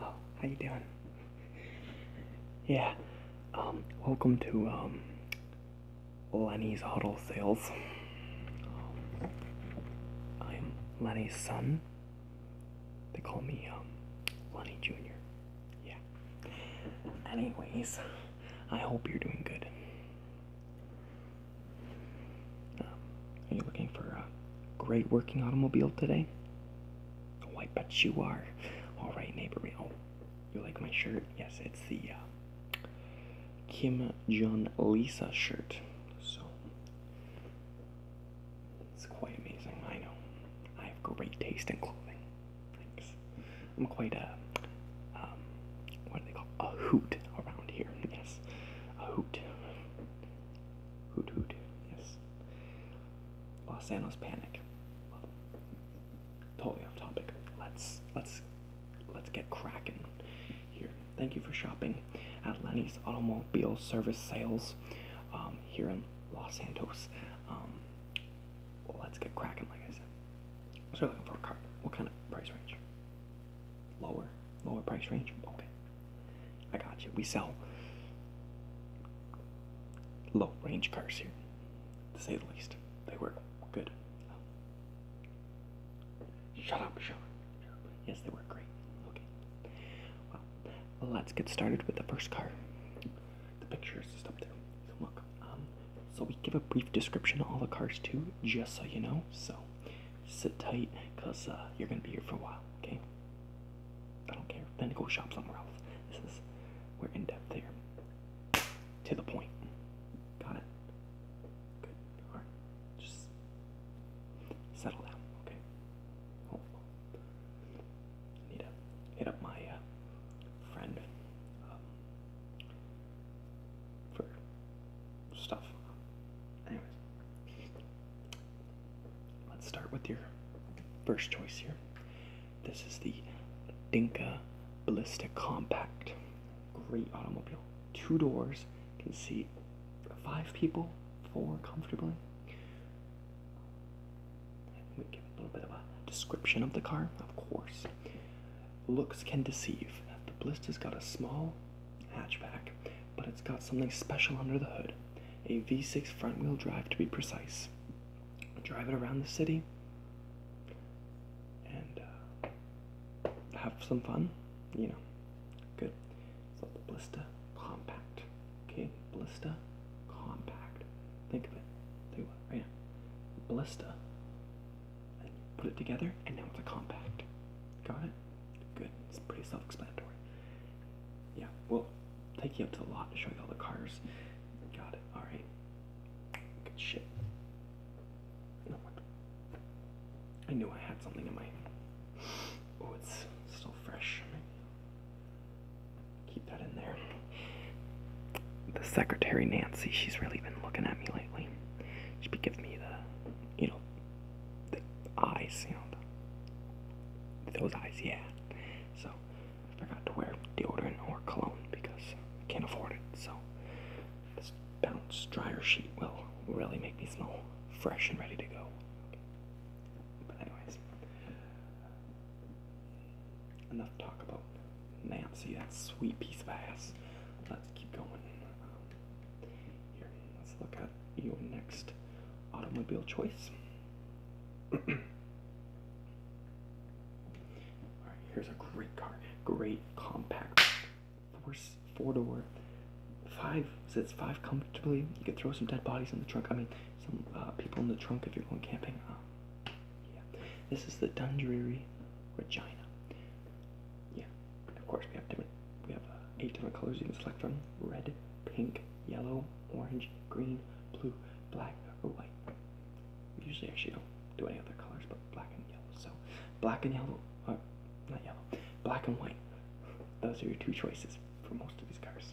Oh, how you doing? yeah, um, welcome to um, Lenny's Auto Sales. I'm um, Lenny's son. They call me um, Lonnie Jr. Yeah. Anyways, I hope you're doing good. Um, are you looking for a great working automobile today? Oh, I bet you are. All right, neighbor. Oh, you like my shirt? Yes, it's the uh, Kim Jong Lisa shirt. So it's quite amazing, I know. I have great taste in clothing. Thanks. I'm quite a, um, what do they call a hoot around here? Yes, a hoot. Hoot hoot. Yes. Los Angeles Panic. totally off topic. Let's let's let's get cracking here. Thank you for shopping at Lenny's Automobile Service Sales um, here in Los Santos. Um, let's get cracking, like I said. So, are looking for a car. What kind of price range? Lower, lower price range. Okay, I got you. We sell low range cars here, to say the least. They work good. Shut up, shut Yes, they were great. Okay. Well, let's get started with the first car. The picture is just up there. So look. Um, so we give a brief description of all the cars too, just so you know. So sit tight, cause uh, you're gonna be here for a while. Okay. I don't care. Then go shop somewhere else. This is we're in depth here. To the point. Got it. Good. Alright. Just settle down, okay? Need to hit up my friend um, for stuff. Anyways, let's start with your first choice here. This is the Dinka Ballista Compact. Great automobile. Two doors, can see five people, four comfortably. We give a little bit of a description of the car, of course. Looks can deceive. The Blista's got a small hatchback, but it's got something special under the hood. A V6 front wheel drive to be precise. drive it around the city and uh, have some fun, you know. Good. So the Blister Compact. Okay, Blister Compact. Think of it. Think of it right now. Blista. put it together, and now it's a compact. Got it? Good. It's pretty self-explanatory. Yeah, we'll take you up to the lot to show you all the cars. Got it. All right. Good shit. I knew I had something in my Oh, it's still fresh. Keep that in there. The secretary, Nancy, she's really been looking at me lately. She's been giving me the, you know, the eyes, you know, those eyes, yeah. So, I forgot to wear deodorant or cologne because I can't afford it. So, this bounce dryer sheet will really make me smell fresh and ready to go. But anyways, enough talk about Nancy, that sweet piece of ass. Let's keep going. here, let's look at your next automobile choice. All right, here's a great car, great compact four four door, five sits five comfortably. You could throw some dead bodies in the trunk. I mean, some uh, people in the trunk if you're going camping. Uh, yeah, this is the Dundreary Regina. Yeah, of course we have different. We have uh, eight different colors you can select from: red, pink, yellow, orange, green, blue, black, or white. Usually, actually don't do any other colors but black and yellow. So, black and yellow uh, not yellow, black and white. Those are your two choices for most of these cars.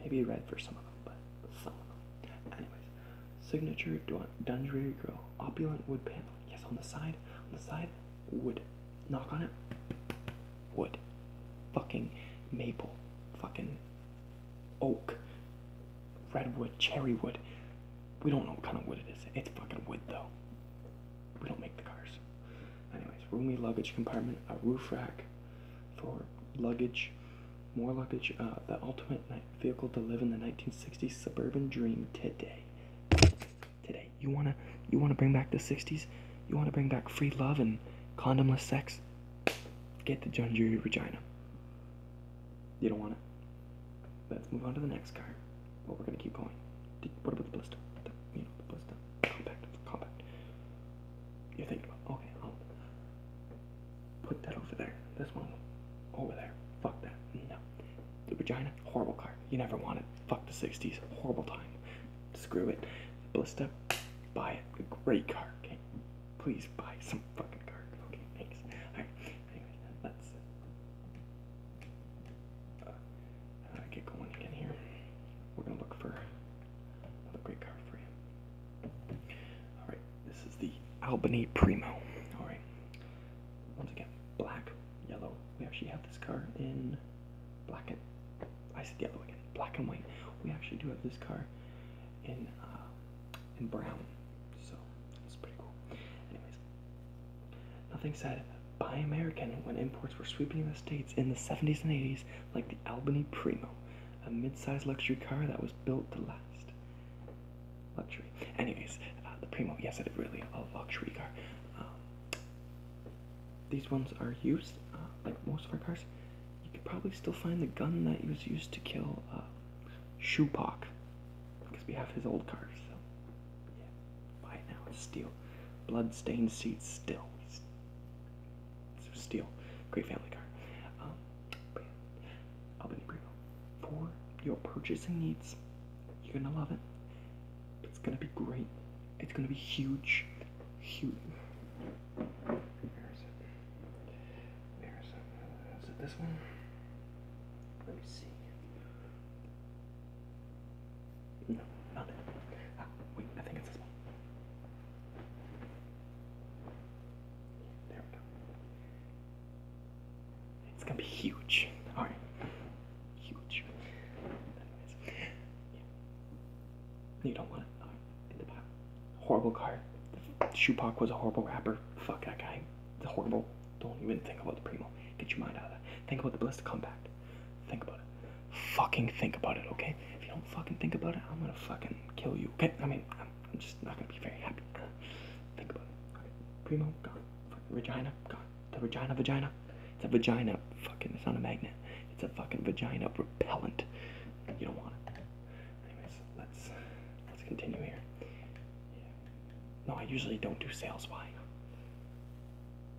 Maybe red for some of them, but some of them. Anyways, signature Dundreary grill, opulent wood paneling. Yes, on the side, on the side, wood. Knock on it, wood. Fucking maple, fucking oak, redwood, cherry wood. We don't know what kind of wood it is. It's fucking wood though. We don't make the cars. Anyways, roomy luggage compartment, a roof rack for luggage, more luggage, uh, the ultimate vehicle to live in the 1960s suburban dream today. Today, you wanna you wanna bring back the 60s? You wanna bring back free love and condomless sex? Get the John Jury Regina. You don't want it. Let's move on to the next car. Well, we're gonna keep going. What about the blister? The, you know, the blister. Compact, compact. You're thinking about, okay, I'll put that over there. This one over there. Fuck that. No. The vagina, horrible car. You never wanted. Fuck the 60s. Horrible time. Screw it. Blister, buy it. A great car, okay? Please buy some fucking car. Okay, thanks. Alright let's uh, get going again here. We're gonna look for another great card for you. All right, this is the Albany Primo. All right, once again, black, yellow. We actually have this car in black and I said yellow again, black and white. We actually do have this car in uh, in brown. So that's pretty cool. Anyways, Nothing said buy American when imports were sweeping the states in the 70s and 80s, like the Albany Primo, a mid sized luxury car that was built to last. Luxury. Anyways, uh, the Primo, yes, it is really a luxury car. Um, these ones are used, uh, like most of our cars. You could probably still find the gun that was used to kill uh, Shupak, because we have his old cars. Yeah. Buy it now. It's steel. Bloodstained seats. Still. It's steel. Great family car. Um, but yeah. For your purchasing needs, you're gonna love it. It's gonna be great. It's gonna be huge. Huge. Where is it? Where is it? Is it this one? Let me see. No, not it. wait, I think it's this one. There we go. It's gonna be huge. Alright. Huge. You don't want it. Horrible card. Shupak was a horrible rapper. Fuck that guy. It's horrible. Don't even think about the primo. Get your mind out of that. Think about the blessed compact. Think about it. Fucking think about it, okay? If you don't fucking think about it, I'm gonna fucking kill you, okay? I mean, I'm, just not gonna be very happy. Think about it. Okay. Primo, gone. Fucking Regina, gone. The Regina vagina. It's a vagina. Fucking, it's not a magnet. It's a fucking vagina repellent. You don't want it. Anyways, let's let's continue here. No, I usually don't do sales. Why?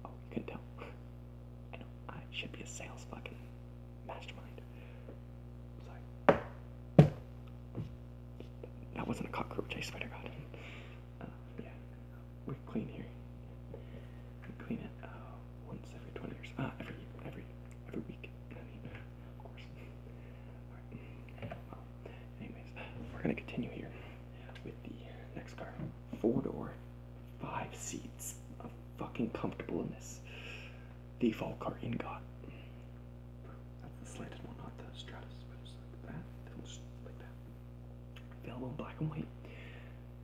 Oh, you can tell. I should be a sales fucking mastermind. Sorry. That wasn't a cockroach, I swear to God. Uh, yeah. We're clean here. We clean it uh, once every 20 years. Uh, every, every, every week. I mean, of course anyways, we're gonna continue here with the next car. Four door, five seats. i fucking comfortable in this. Default car in God. That's the slanted one, not the Stratus, but just like that. Just like that. Available in black and white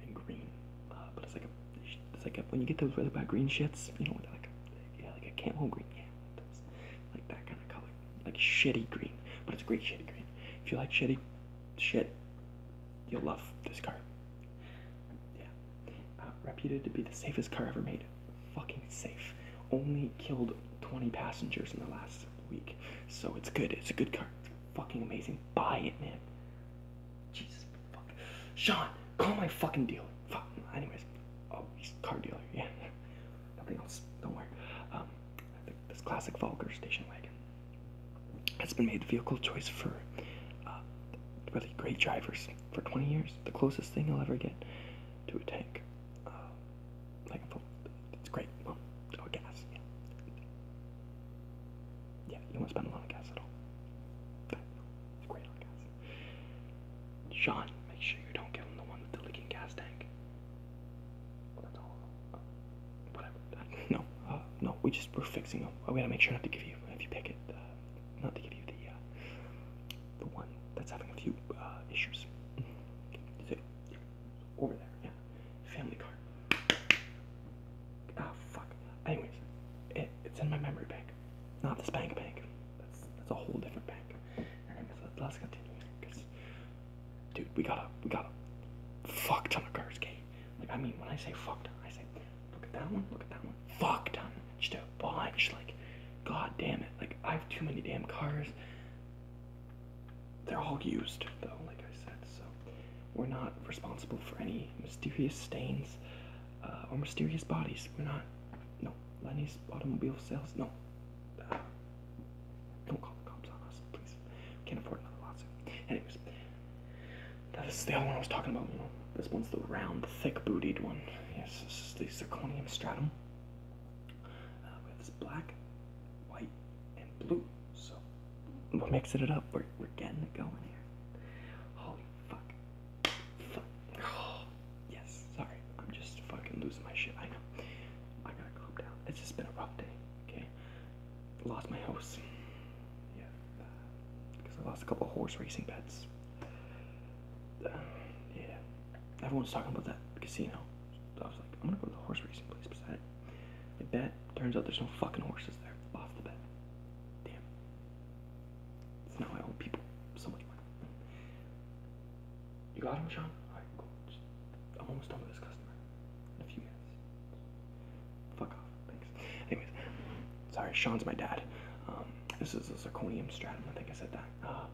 and green. Uh, but it's like a, it's like a, when you get those really bad green shits, you know, like a, yeah, like a camel green. Yeah, like that kind of color. Like shitty green. But it's a great shitty green. If you like shitty shit, you'll love this car. Yeah. Uh, reputed to be the safest car ever made. Fucking safe. Only killed 20 passengers in the last week. So it's good. It's a good car. It's fucking amazing. Buy it, man. Jesus fuck. Sean, call my fucking dealer. Fuck. Anyways, oh, he's car dealer. Yeah nothing else. Don't worry. Um, this classic Volker station wagon has been made vehicle choice for uh, really great drivers for 20 years. The closest thing you'll ever get to a tank, uh, like it's great. oh, gas. Yeah. yeah, you won't spend a lot of gas at all. it's great on gas. Sean, make sure you don't get on the one with the leaking gas tank. Whatever. No, uh, no. We just we're fixing them. We gotta make sure not to give you if you pick it, uh, not to give you the uh, the one that's having a few uh, issues. Okay. Over there, yeah. Family card. Ah, fuck. Anyways, it, it's in my memory bank, not this bank bank. That's that's a whole different bank. let's continue dude, we gotta, we gotta fuck ton of cards, okay? Like, I mean, when I say fuck ton, I say, look at that one, look at that one, fuck ton, just a bunch, like, god damn it, like, I have too many damn cars. They're all used, though, like I said, so we're not responsible for any mysterious stains uh, or mysterious bodies. We're not, no, Lenny's automobile sales, no. Don't call the cops on us, please. can't afford another lawsuit. Anyways, that is the other one I was talking about. You know, this one's the round, thick-bootied one. Yes, this is the zirconium stratum. Uh, we have this black, white, and blue. So we're mixing it up. We're we're getting it going here. Holy fuck! Oh. Yes, sorry. I'm just fucking losing my shit. I know. I gotta calm down. It's just been a rough day, okay? Lost my house. Yeah. Because uh, I lost a couple horse racing bets. Uh, yeah. Everyone's talking about that casino. So I was like, I'm gonna go to the horse racing place beside it. I bet. Turns out there's no fucking horses there. Lost the bet. Damn. now I owe people so much money. You got him, Sean? I'm almost done with this customer. In a few minutes. Fuck off. Thanks. Anyways, sorry, Sean's my dad. Um, this is a zirconium stratum. I think I said that. Uh,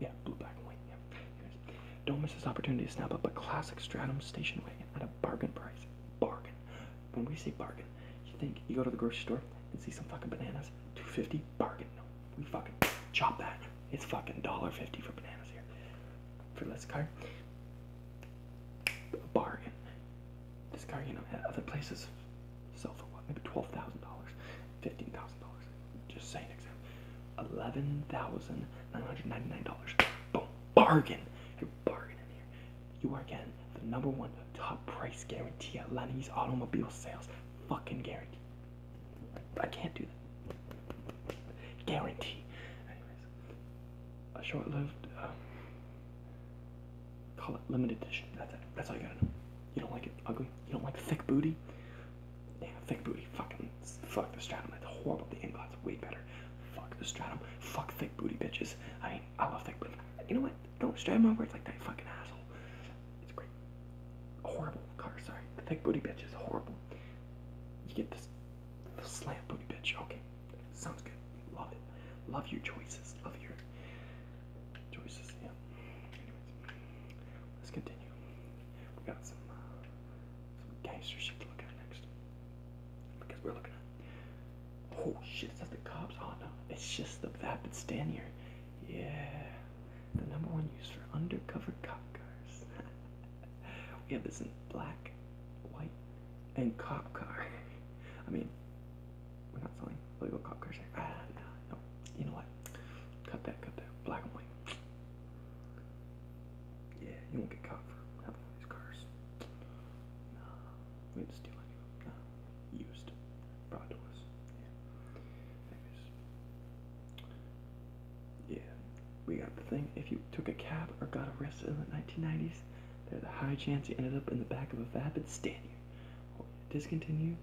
yeah, blue, black, and Yeah. Anyways, don't miss this opportunity to snap up a classic stratum station wagon at a bargain price. Bargain. When we say bargain, you think you go to the grocery store and see some fucking bananas, 250 bargain. No, we fucking chop that. It's fucking $1.50 for bananas here. For this car. A bargain. This car, you know, at other places sell for what? Maybe $12,000, $15,000. Just saying, example. $11,999. Boom. Bargain. You're bargaining here. You are getting the number one top price guarantee at Lenny's Automobile Sales. Fucking guarantee. I can't do that. Guarantee. Anyways, a short lived, um, call it limited edition. That's it. That's all you gotta know. You don't like it ugly? You don't like thick booty? Yeah, thick booty. Fucking fuck the stratum. That's horrible. The inglot's way better. Fuck the stratum. Fuck thick booty bitches. I mean, I love thick booty. You know what? Don't stratum my words like that, fucking asshole. It's great. Horrible car, sorry. The thick booty bitch is horrible. You get this the slant booty bitch. Okay. Sounds good. Love it. Love your choices. Love your choices. Yeah. Let's continue. We have got some uh, some gangster shit to look at next. Because we're looking Oh shit, It's that the cops? Oh no. It's just the vapid stand Yeah the number one used for undercover cop cars. we have this in black, white, and cop car. I mean, we're not selling illegal cop cars Ah, no, You know what? Cut that, cut that. Black and white. Yeah, you won't get caught for having these cars. No, we had to steal it. No, used. Brought to us. Yeah. Anyways, yeah, we got the thing. If you took a cab or got arrested in the 1990s, there's a high chance you ended up in the back of a vapid stand oh, Discontinue.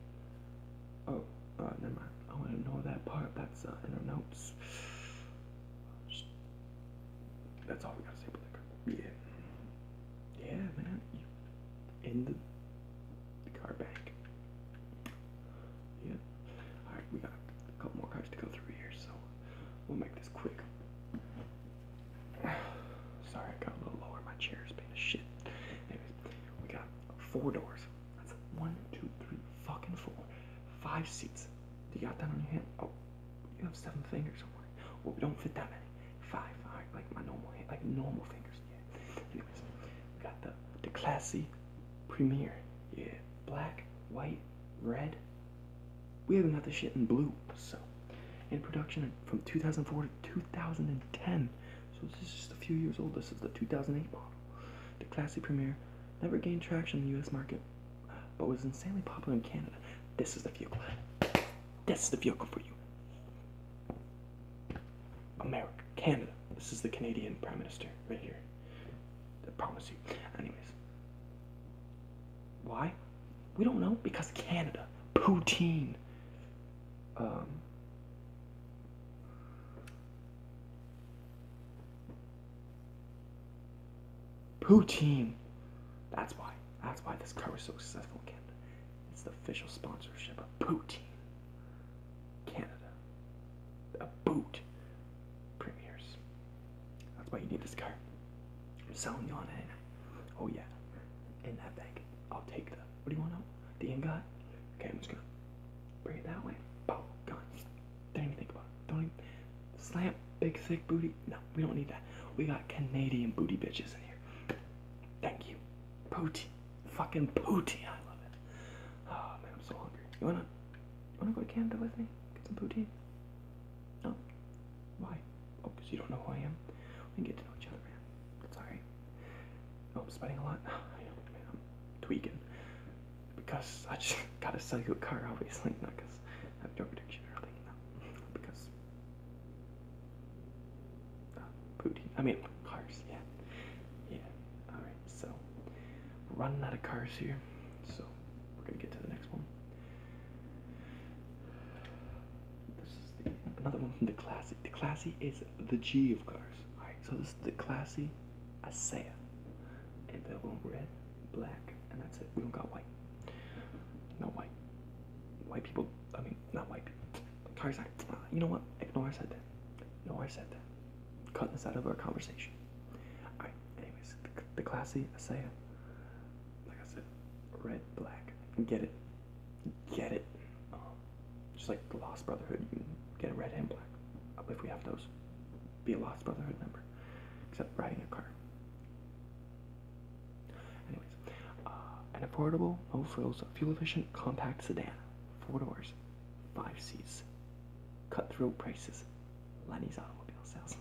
Oh, uh, never mind. I want to know that part. That's uh, in our notes. that's all we gotta say about Yeah. Yeah, man in the car bank. Yeah. Alright, we got a couple more cars to go through here, so we'll make this quick. Sorry, I got a little lower. My chair is been a shit. Anyways, we got four doors. That's one, two, three, fucking four. Five seats. Do you got that on your hand? Oh, you have seven fingers on one. Well, we don't fit that many. Five, alright, like my normal hand, like normal fingers. Anyways, we got the the classy premiere. Yeah, black, white, red. We haven't got the shit in blue. So, in production from 2004 to 2010. So this is just a few years old. This is the 2008 model. The classy premiere never gained traction in the U.S. market, but was insanely popular in Canada. This is the vehicle. This is the vehicle for you. America, Canada. This is the Canadian Prime Minister right here. I promise you. Anyways. Why? We don't know. Because Canada. Poutine. Um, poutine. That's why. That's why this car was so successful Canada. It's the official sponsorship of poutine. Canada. A boot. Premieres. That's why you need this car. I'm selling you on it. Oh yeah. In that bag. I'll take the what do you want out? The ingot? Okay, I'm just gonna bring it that way. Boom, gone. Don't even think about it. Don't even slam big thick booty. No, we don't need that. We got Canadian booty bitches in here. Thank you. Booty fucking poutine. I love it. Oh man, I'm so hungry. You wanna, you wanna go to Canada with me? Get some poutine. No. Why? Oh, because you don't know who I am. We can get to know each other, man. It's alright. Oh, I'm spending a lot. I know, man. I'm tweaking because I just gotta sell you a car, obviously, not because I have drug addiction or anything. No. Because uh, I mean, cars, yeah. Yeah, alright, so we're running out of cars here, so we're gonna get to the next one. This is the, another one from the Classy. The Classy is the G of cars. Alright, so this is the Classy Asea. And they're all red, black, and that's it. We don't got white. No white. White people I mean, not white people. Sorry, uh, You know what? Ignore I said that. No, I said that. Cutting this out of our conversation. Alright, anyways, the, the classy Isaiah. Like I said, red, black. Get it. Get it. Um, just like Lost Brotherhood, you can get red and black. Uh, if we have those, be a Lost Brotherhood member. Except riding a car. Uh, an affordable, no frills, fuel efficient, compact sedan, four doors, five seats, cutthroat prices, Lenny's automobile sales.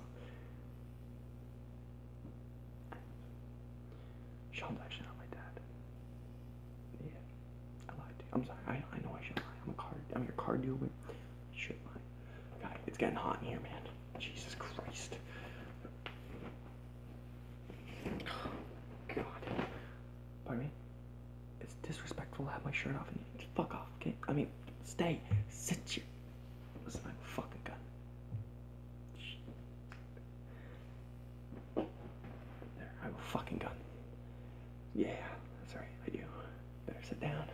Sean's actually not my dad. Yeah, I lied I'm sorry. I, know I should not lie. I'm a car. I'm your car dealer. Shit, lie. God, it's getting hot in here, man. Jesus Christ. God. Pardon me? It's disrespectful to have my shirt off and you fuck off, okay? I mean, stay. Sit here. Listen, I'm fucking gun. There, I have a fucking gun. Yeah, that's right, I do. Better sit down.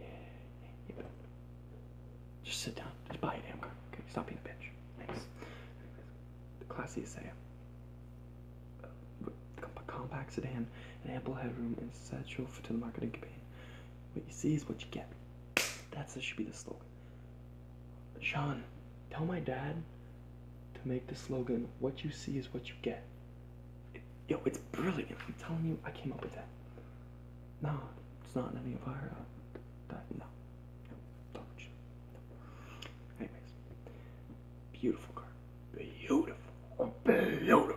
Yeah, Just sit down. Just buy a damn gun. Okay, stop being a bitch. Thanks. Class E uh, compact sedan, and ample headroom and central to the marketing campaign. What you see is what you get. that should be the slogan. Sean, tell my dad to make the slogan "What you see is what you get." yo, it's brilliant. I'm telling you, I came up with that. No, it's not in any of our. Uh, no. No, large. Anyways, beautiful car. Beautiful. Beautiful.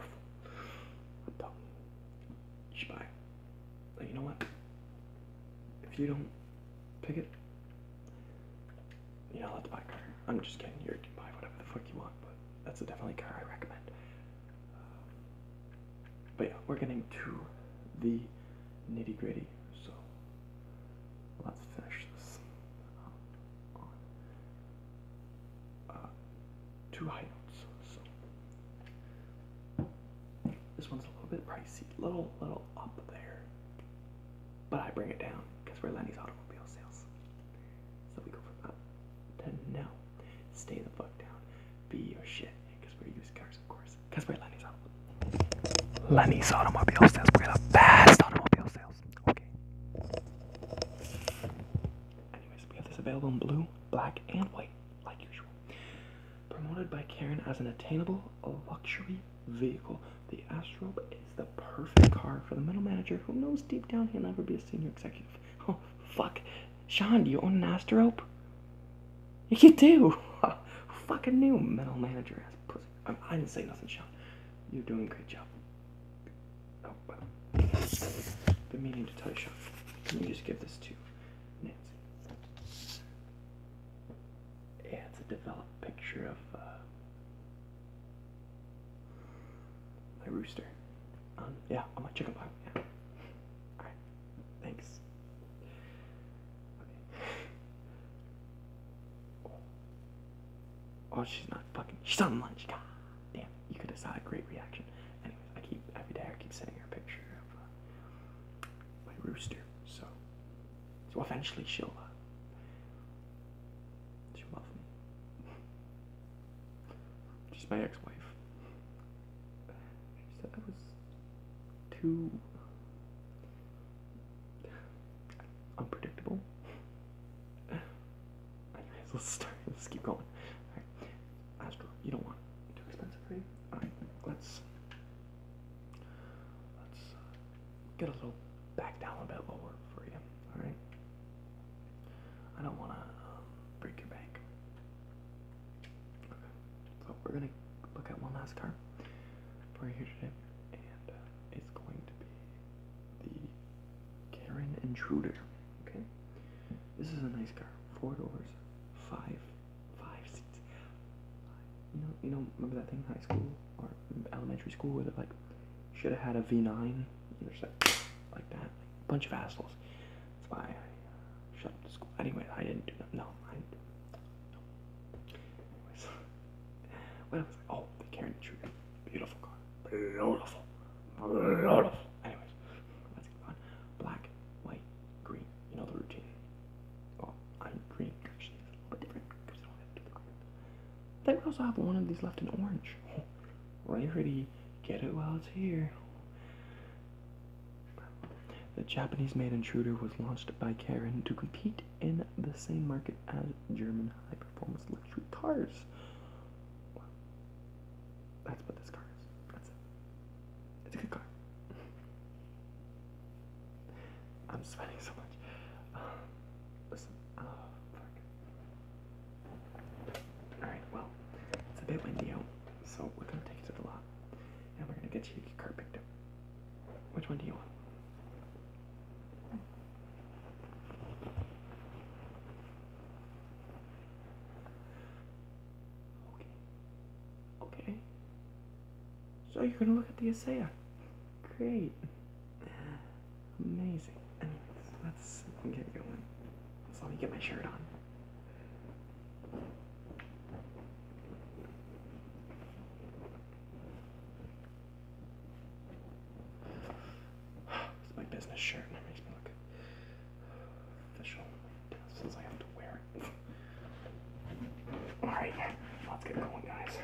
You should buy But you know what? If you don't pick it, you're not allowed to buy a car. I'm just kidding. You can buy whatever the fuck you want, but that's a definitely car I recommend. But yeah, we're getting to the nitty gritty. So let's finish this. Uh, two high So this one's a little bit pricey, little little up there, but I bring it down because we're Lenny's automobile sales. So we go from up to now. Stay the fuck down. Be your shit because we're used cars of course. Because we're Lenny's Automobiles. Lenny's Automobile Sales. We're the best automobile sales. Okay. Anyways, we have this available in blue, black, and white, like usual. Promoted by Karen as an attainable luxury vehicle, the Astrobe is the perfect car for the middle manager who knows deep down he'll never be a senior executive. Oh, fuck. Sean, do you own an Astrobe? You do. a new metal manager ass pussy. I, didn't say nothing, Sean. You're doing a great job. Oh, well. Been meaning to tell you, Sean. Let me just give this to Nancy. Yeah, it's a developed picture of uh, my rooster. Um, yeah, I'm a chicken farm. Yeah. Thanks. Okay. Oh, she's not fucking. She's on lunch. God damn. You could have saw a great reaction. Anyways, I keep every day I keep sending her a picture of uh, my rooster. So, so eventually she'll uh, she'll love me. She's my ex-wife. She said I was too unpredictable. Anyways, let's start. Let's keep going. Alright. Astro, you don't want Too expensive for you? Alright, let's let's uh, get a little back down a bit lower for you. Alright? I don't wanna um, break your bank. So we're gonna look at one last car for you today, and uh, it's going to be the Karen Intruder. Okay, this is a nice car. Four doors, five, five seats. You know, you know, remember that thing in high school or elementary school where they like should have had a V9. You know, like, that, a bunch of assholes. That's why I shut up school. Anyway, I didn't do that. No, I didn't do that. No. Oh, the Karen Intruder. Beautiful car. Beautiful. Beautiful. Anyways, let's get on. Black, white, green. You know the routine. Well, I'm green actually. It's a little bit different because I don't have to do also have one of these left in orange. Rarity. Get it while it's here. The Japanese made Intruder was launched by Karen to compete in the same market as German high performance luxury cars. Well, that's what this car That's it. It's a good car. I'm sweating so much. Um, listen. Oh, fuck. Alright, well, it's a bit windy out, so we're gonna take it to the lot and we're gonna get you your car picked up. Which one do you want? Okay. Okay. So you're gonna look at the Isaiah. Great. Amazing. Anyways, let's get going. So let me get my shirt on. It's my business shirt and it makes me look official since I have to wear it. Alright, let's get going guys.